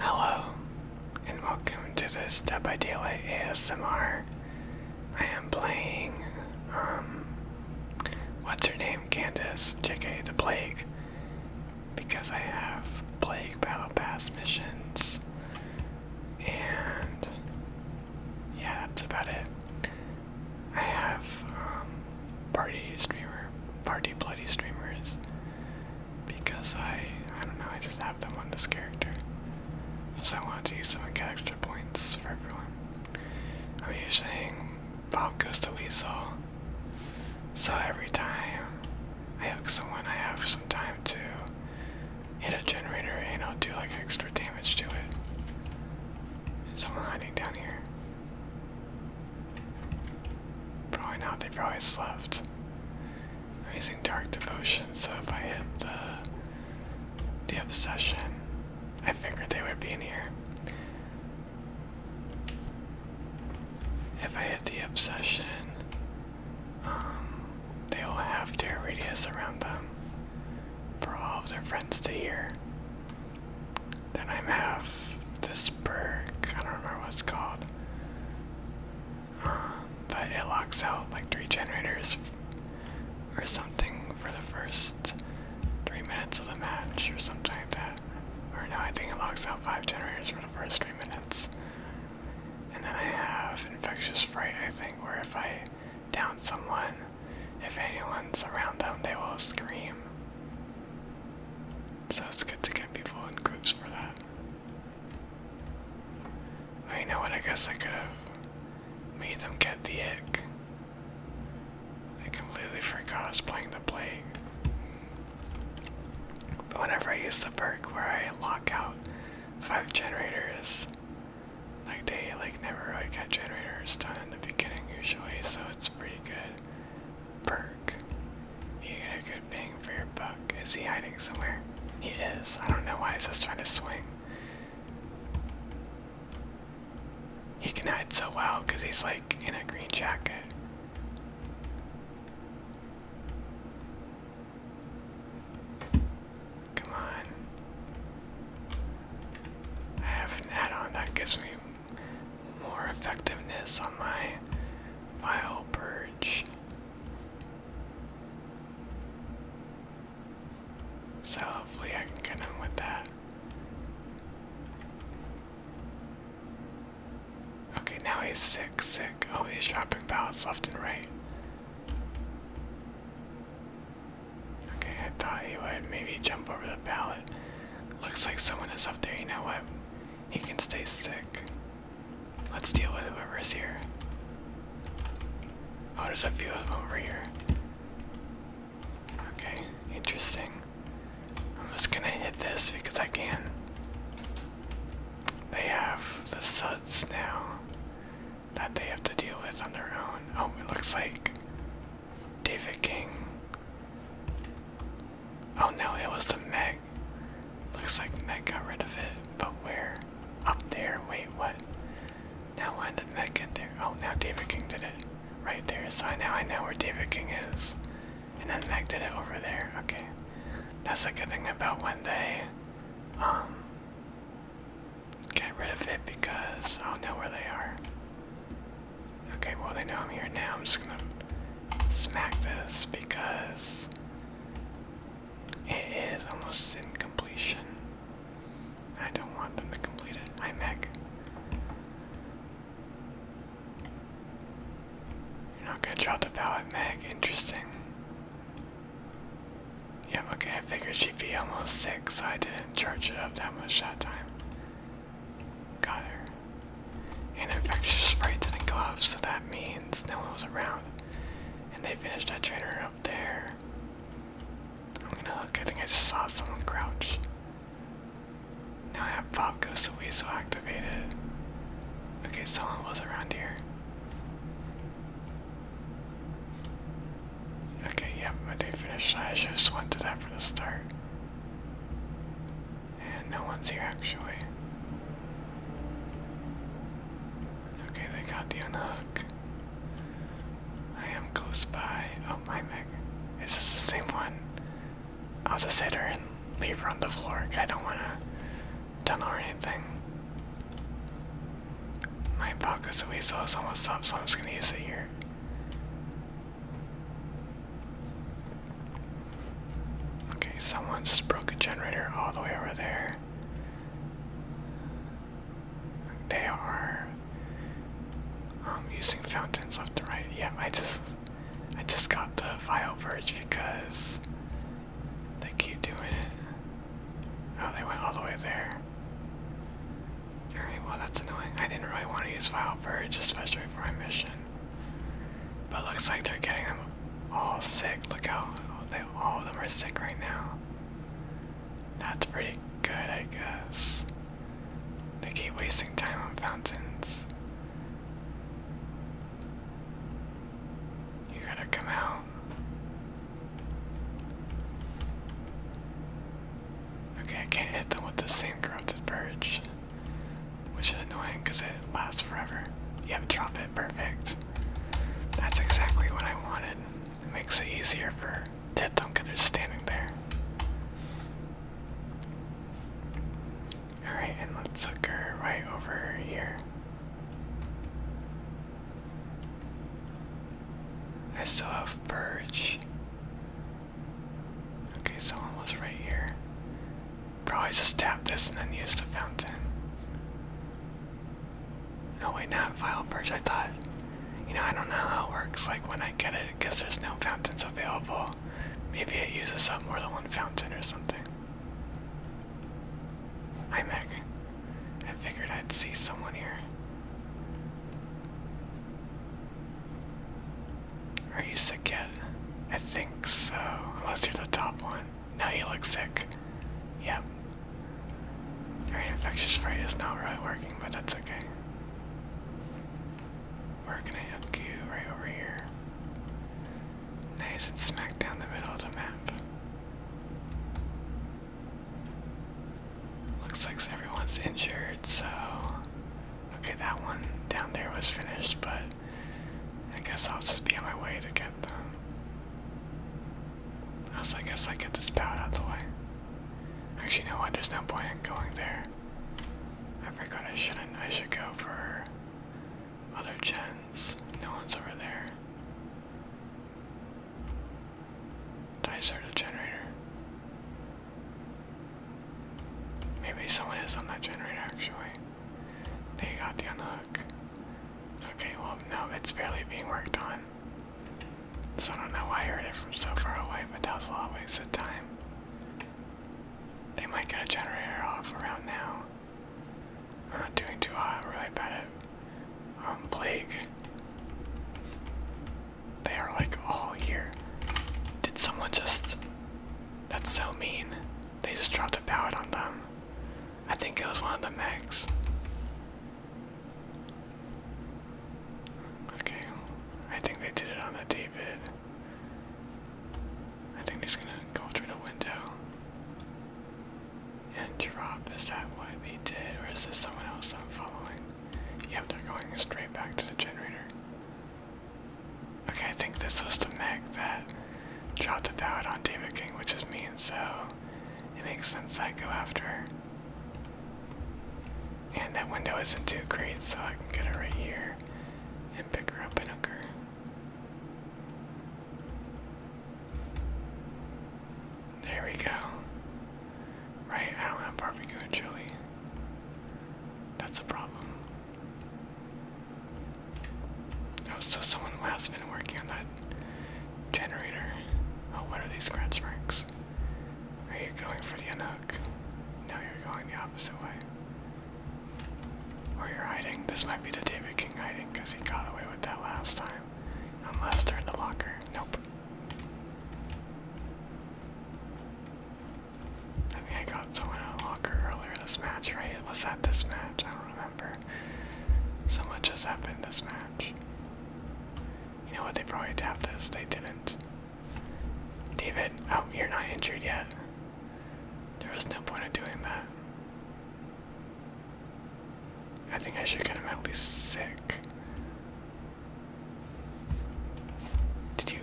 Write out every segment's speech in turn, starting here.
Hello, and welcome to this Dead by Daylight ASMR. I am playing, um, what's her name? Candace, JK the Plague, because I have Plague Battle Pass missions, and yeah, that's about it. I have, um, party streamer, party bloody streamers because I I don't know, I just have them on this character. So I wanted to use them and get extra points for everyone. I'm usually Bob Goes to Weasel. So every time I hook someone I have some time to hit a generator and I'll do like extra damage to it. Is someone hiding down here? Probably not, they probably slept. I'm using Dark Devotion, so if I hit the, the Obsession, I figured they would be in here. If I hit the Obsession, um, they will have Terror Radius around them for all of their friends to hear. Then I have this perk, I don't remember what it's called but it locks out like three generators or something for the first three minutes of the match or something like that. Or no, I think it locks out five generators for the first three minutes. And then I have Infectious Fright, I think, where if I down someone, if anyone's around them, they will scream. So it's good to get people in groups for that. Oh, you know what? I guess I could have made them get the ick. I completely forgot I was playing the plague. But whenever I use the perk where I lock out five generators, like they like never really got generators done in the beginning usually, so it's pretty good. Perk. You get a good bang for your buck. Is he hiding somewhere? He is. I don't know why he's just trying to swing. He can hide so well because he's like in a green jacket. Come on. I have an add-on that gives me more effectiveness on my vile bird. So hopefully I can get on with that. Okay, now he's sick, sick. Oh, he's dropping pallets left and right. Okay, I thought he would maybe jump over the pallet. Looks like someone is up there. You know what? He can stay sick. Let's deal with whoever is here. Oh, does a feel over here. Okay, interesting. I'm just gonna hit this because I can. They have the suds now that they have to deal with on their own. Oh, it looks like David King Oh no, it was the Meg. Looks like Meg got rid of it, but where? Up there? Wait, what? Now when did Meg get there? Oh, now David King did it. Right there, so I now I know where David King is. And then Meg did it over there. Okay. That's a good thing about when they um get rid of it because I'll know where they are. Okay, well they know I'm here now. I'm just gonna smack this because it is almost in completion. I don't want them to complete it. Hi, Meg. You're not gonna drop the pallet, mag. Interesting. Yeah, okay, I figured she'd be almost sick, so I didn't charge it up that much that time. Got her. An infectious spray didn't go off, so that means no one was around. And they finished that trainer up there. I'm gonna look, I think I saw someone crouch. Now I have Bob Ghost the activated. Okay, someone was around here. Okay, yep, yeah, my day finished. I should have went to that from the start. And no one's here actually. Okay, they got the unhook. I am close by. Oh, my Meg. Is this the same one? I'll just hit her and leave her on the floor. Cuz I don't want to tunnel or anything. My pocket's a weasel is almost up, so I'm just going to use it here. Okay, someone just broke a generator all the way over there. They are um, using fountains left and right. Yeah, I just I just got the vile verge because they keep doing it. Oh, they went all the way there. Alright, well that's annoying. I didn't really want to use Vile Purge, especially for my mission. But looks like they're getting them all sick. Look how they, all of them are sick right now. That's pretty good, I guess. They keep wasting time on fountains. You gotta come out. Okay, I can't hit them with the same corrupted purge. Which is annoying because it lasts forever. Yep, drop it, perfect. That's exactly what I wanted. makes it easier for Ted Duncan who's standing there. Alright, and let's hook her right over here. I saw a Purge. Okay, someone was right here. Probably just tap this and then use the fountain. Oh wait, not file purge. I thought, you know, I don't know how it works. Like when I get it, because there's no fountains available. Maybe it uses up more than one fountain or something. Hi Meg. I figured I'd see someone here. Are you sick yet? I think so. Unless you're the top one. No, you look sick. Yep. Your infectious spray is not really working, but that's okay. We're gonna you right over here. Nice and smack down the middle of the map. Looks like everyone's injured, so. Okay, that one down there was finished, but I guess I'll just be on my way to get them. Also, I guess I get this pad out of the way. Actually, no what? There's no point going there. I forgot I shouldn't. I should go for other gens. No one's over there. I start a generator? Maybe someone is on that generator actually. They got you on the hook. Okay, well, no, it's barely being worked on. So I don't know why I heard it from so far away, but that was a lot of waste time. They might get a generator off around now. I'm not doing too hot, I'm really bad at um, plague. They are like all here. Did someone just. That's so mean. They just dropped a pallet on them. I think it was one of the mechs. Okay, I think they did it on the David. I think he's gonna go through the window and drop. Is that what he did, or is this someone else I'm following? Yep, they're going straight back to the generator. Okay, I think this was the mech that dropped a pallet on David King, which is mean. so it makes sense I go after her. And that window isn't too great, so I can get it right here and pick her up and hook her. There we go. Right, I don't have barbecue and chili. That's a problem. Oh, so someone has been working on that generator. Oh, what are these scratch marks? Are you going for the unhook? No, you're going the opposite way. Where you're hiding. This might be the David King hiding because he got away with that last time. Unless they're in the locker. Nope. I mean, I got someone in a locker earlier this match, right? Was that this match? I don't remember. So much has happened this match. You know what? They probably tapped this. They didn't. David, oh, you're not injured yet. There was no point in doing that. I think I should get him at least sick. Did you?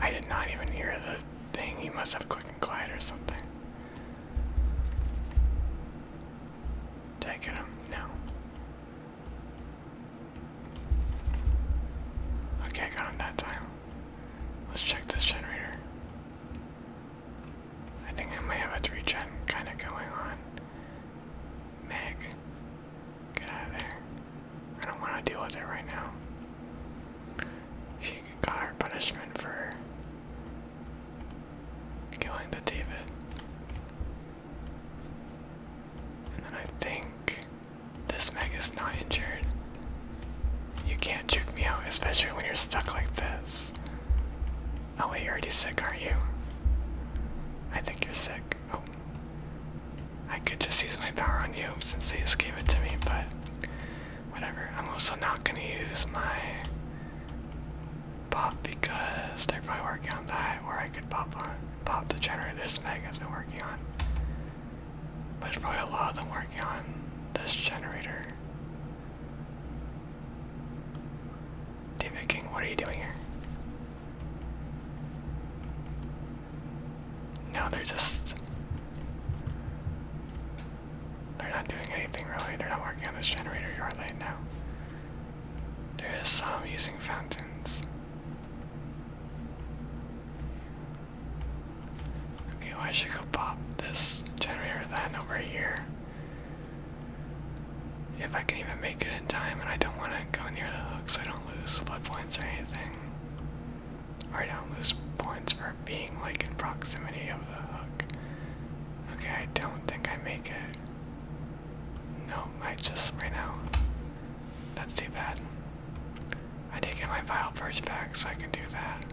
I did not even hear the thing. He must have quick and quiet or something. Did him? No. Okay, got him that time. Let's check this generator. I think I might have a 3 gen kind of going on. Meg, get out of there. I don't want to deal with it right now. She got her punishment for killing the David. And I think this Meg is not injured. You can't juke me out, especially when you're stuck like this. Oh wait, you're already sick, aren't you? I think you're sick. Oh. I could just use my power on you since they just gave it to me, but whatever. I'm also not gonna use my pop because they're probably working on that, or I could pop on pop the generator this Meg has been working on. But there's probably a lot of them working on this generator. David King, what are you doing here? No, they're just. They're not doing anything really. They're not working on this generator, are they now? There is some using fountains. Okay, well, I should go pop this generator then over here. If I can even make it in time, and I don't want to go near the hooks, I don't lose blood points or anything. I don't lose points for being like in proximity of the hook. Okay, I don't think I make it. No, I just right now. That's too bad. I did get my vile purge back, so I can do that.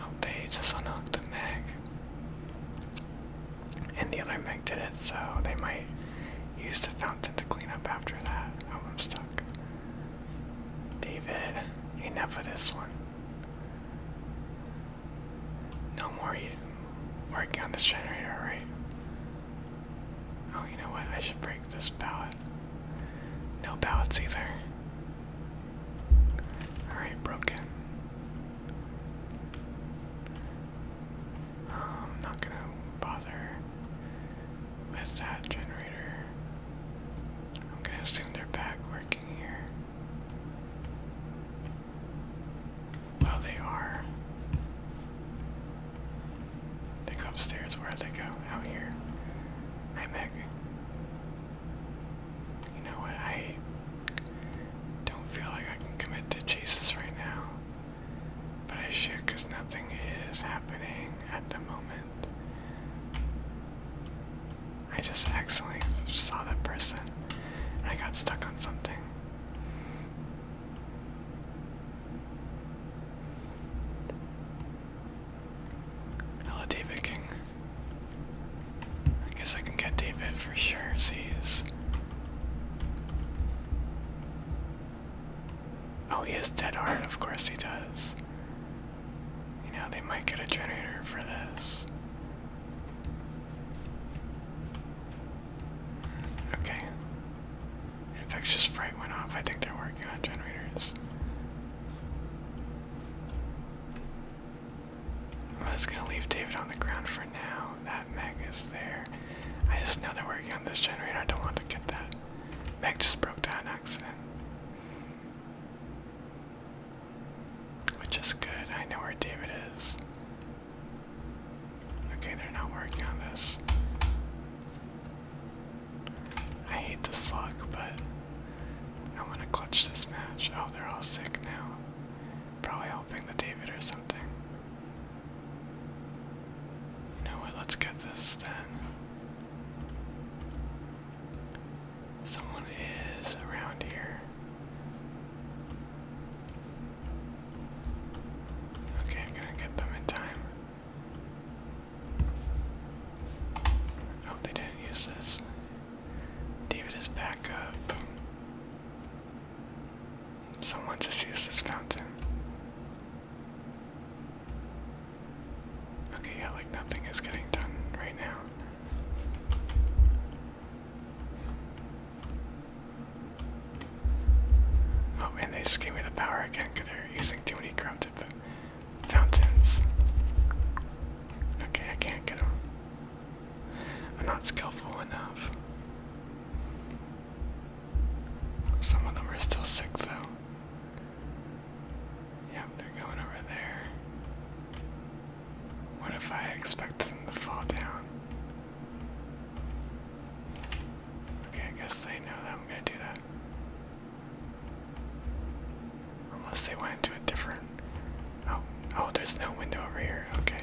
Oh, they just unlocked the meg. And the other meg did it, so they might use the fountain to clean up after that. Oh, I'm stuck. David, enough of this one. No more you working on this generator, right? Oh, you know what? I should break this ballot. No ballots either. Alright, broken. I'm um, not gonna bother with that generator. I'm gonna assume they're back working here. Well, they are. They go upstairs. where they go? Out here. Hi, Meg. You know what? I don't feel like I can commit to chases right now. But I should, because nothing is happening at the moment. I just accidentally saw that person and I got stuck on something. Hello, David King. I guess I can get David for sure, he's Oh, he is dead hard. of course he does. You know, they might get a generator for this. Okay. Infectious fright went off. I think they're working on generators. I'm just gonna leave David on the ground for now. That meg is there. I just know they're working on this generator. I don't want to get that. Meg just broke down accident. Which is good. I know where David is. Okay, they're not working on this. I hate this luck, but I want to clutch this match. Oh, they're all sick now. Probably helping the David or something. You know Let's get this then. Someone is around here. Okay, I'm gonna get them in time. I oh, they didn't use this. David is back up. Someone just used this fountain. Okay, yeah, like nothing is getting done right now. Oh, man, they just gave me the power again because they're using too many corrupted fountains. Okay, I can't get them. I'm not skillful enough. Some of them are still sick though. Yep, they're going over there. What if I expect them to fall down? Okay, I guess they know that I'm gonna do that. Unless they went to a different... Oh, oh, there's no window over here, okay.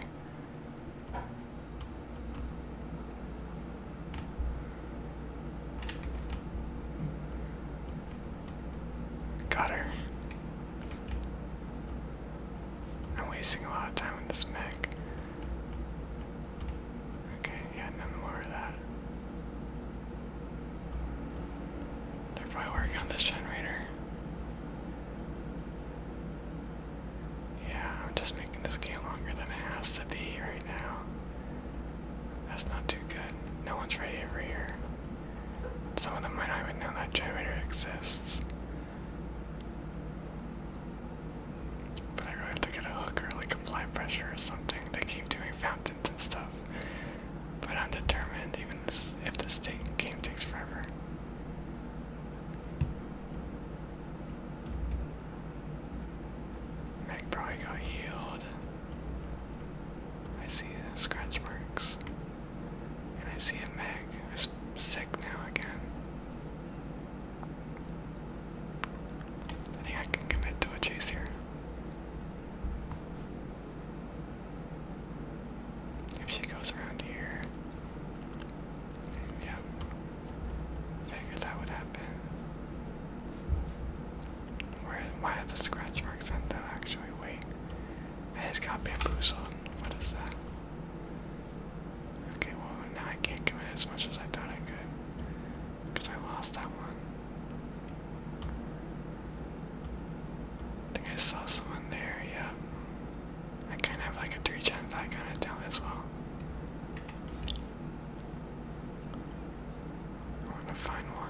Got her. I'm wasting a lot of time with this mech. Okay, yeah, none more of that. They're probably working on this generator. Yeah, I'm just making this game longer than it has to be right now. That's not too good. No one's ready over here. Some of them might not even know that generator exists. But I really have to get a hook or like apply pressure or something. They keep doing fountains and stuff. But I'm determined, even if this game takes forever. Mac probably got healed. I see scratch marks. And I see a Mac who's sick now again. I think I can commit to a chase here. If she goes around here, yeah, Figured that would happen. Where, why are the scratch marks on that actually? Wait, I just got bamboozled. What is that? Okay, well, now I can't commit as much as I thought I could. Because I lost that one. I think I saw someone there, yeah. I kind of have like a 3 gen, but I kind of down as well. I want to find one.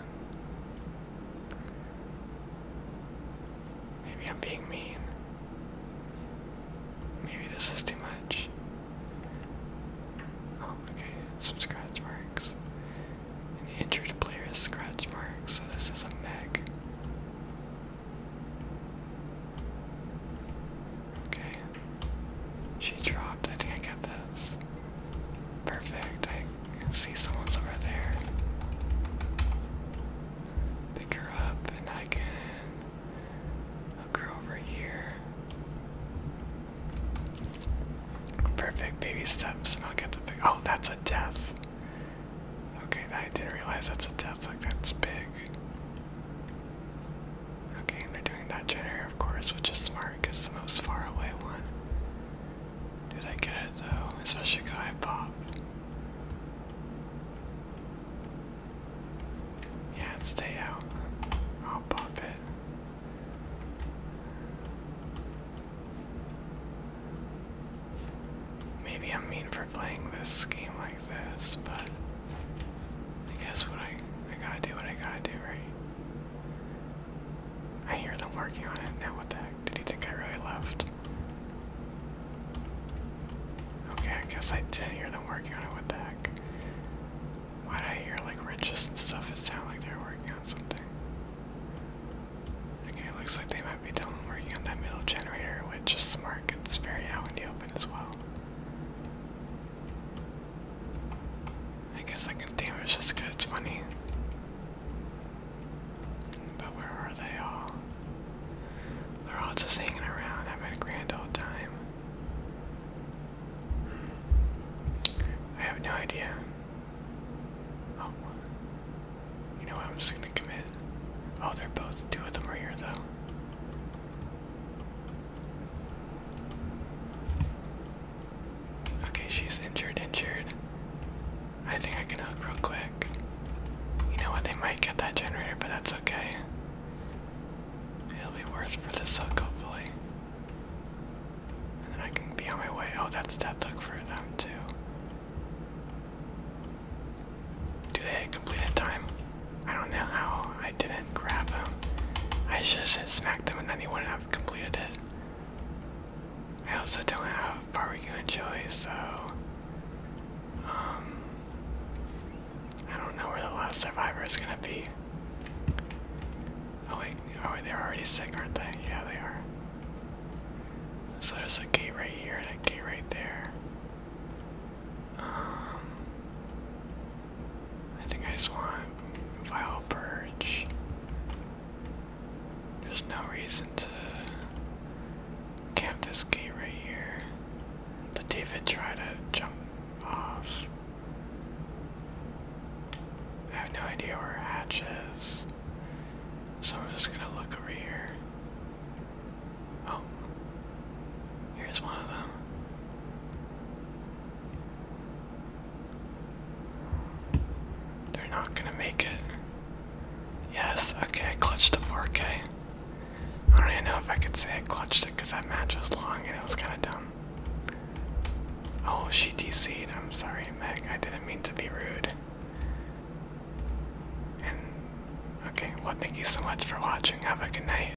Maybe I'm being mean. Maybe this is too much. Oh, okay. Some scratch marks. An injured player has scratch marks, so this is a meg. Okay. She dropped. I think I get this. Perfect. I see someone's over there. Pick her up, and I can hook her over here. Perfect baby steps, and I'll get the big. Oh, that's a death. Okay, I didn't realize that's a death. Like, that's big. Okay, and they're doing that generator, of course, which is smart because it's the most far away one. Did I get it though? Especially because I pop. Yeah, and stay out. I'll pop it. Maybe I'm mean for playing this game like this, but I guess what I I gotta do what I gotta do, right? I hear them working on it. Now what the heck? Did you think I really left? Okay, I guess I didn't hear them working on it. What the heck? Why did I hear like wrenches and stuff? It sounded like they were working on something. Okay, looks like they might be done working on that middle generator, which is smart. It's very out in the open as well. I guess I can damage this because it's funny. But where are they all? They're all just hanging around, having grand old time. Hmm. I have no idea. Oh, you know what? I'm just gonna commit. Oh, they're both. Two of them are here, though. Okay, she's injured, injured. I think I can hook real quick. You know what, they might get that generator, but that's okay. It'll be worth for this hook, hopefully. And then I can be on my way. Oh, that's that look for them, too. Do they complete time? I don't know how I didn't grab him. I should smacked him and then he wouldn't have completed it. I also don't have barbecue and chili, so um, I don't know where the last survivor is gonna be. Oh wait, oh wait, they're already sick, aren't they? Yeah, they are. So there's a gate right here and a gate right there. Um, I think I just want Vile Purge. There's no reason to camp this gate right here. Did David try to jump off? I have no idea where Hatch is. So I'm just gonna look over here. Oh. Here's one of them. They're not gonna make it. Yes, okay, I clutched the 4 I eh? I don't even know if I could say I clutched it because that match was long and it was kind of dumb. Oh, she DC'd. I'm sorry, Meg. I didn't mean to be rude. And, okay, well, thank you so much for watching. Have a good night.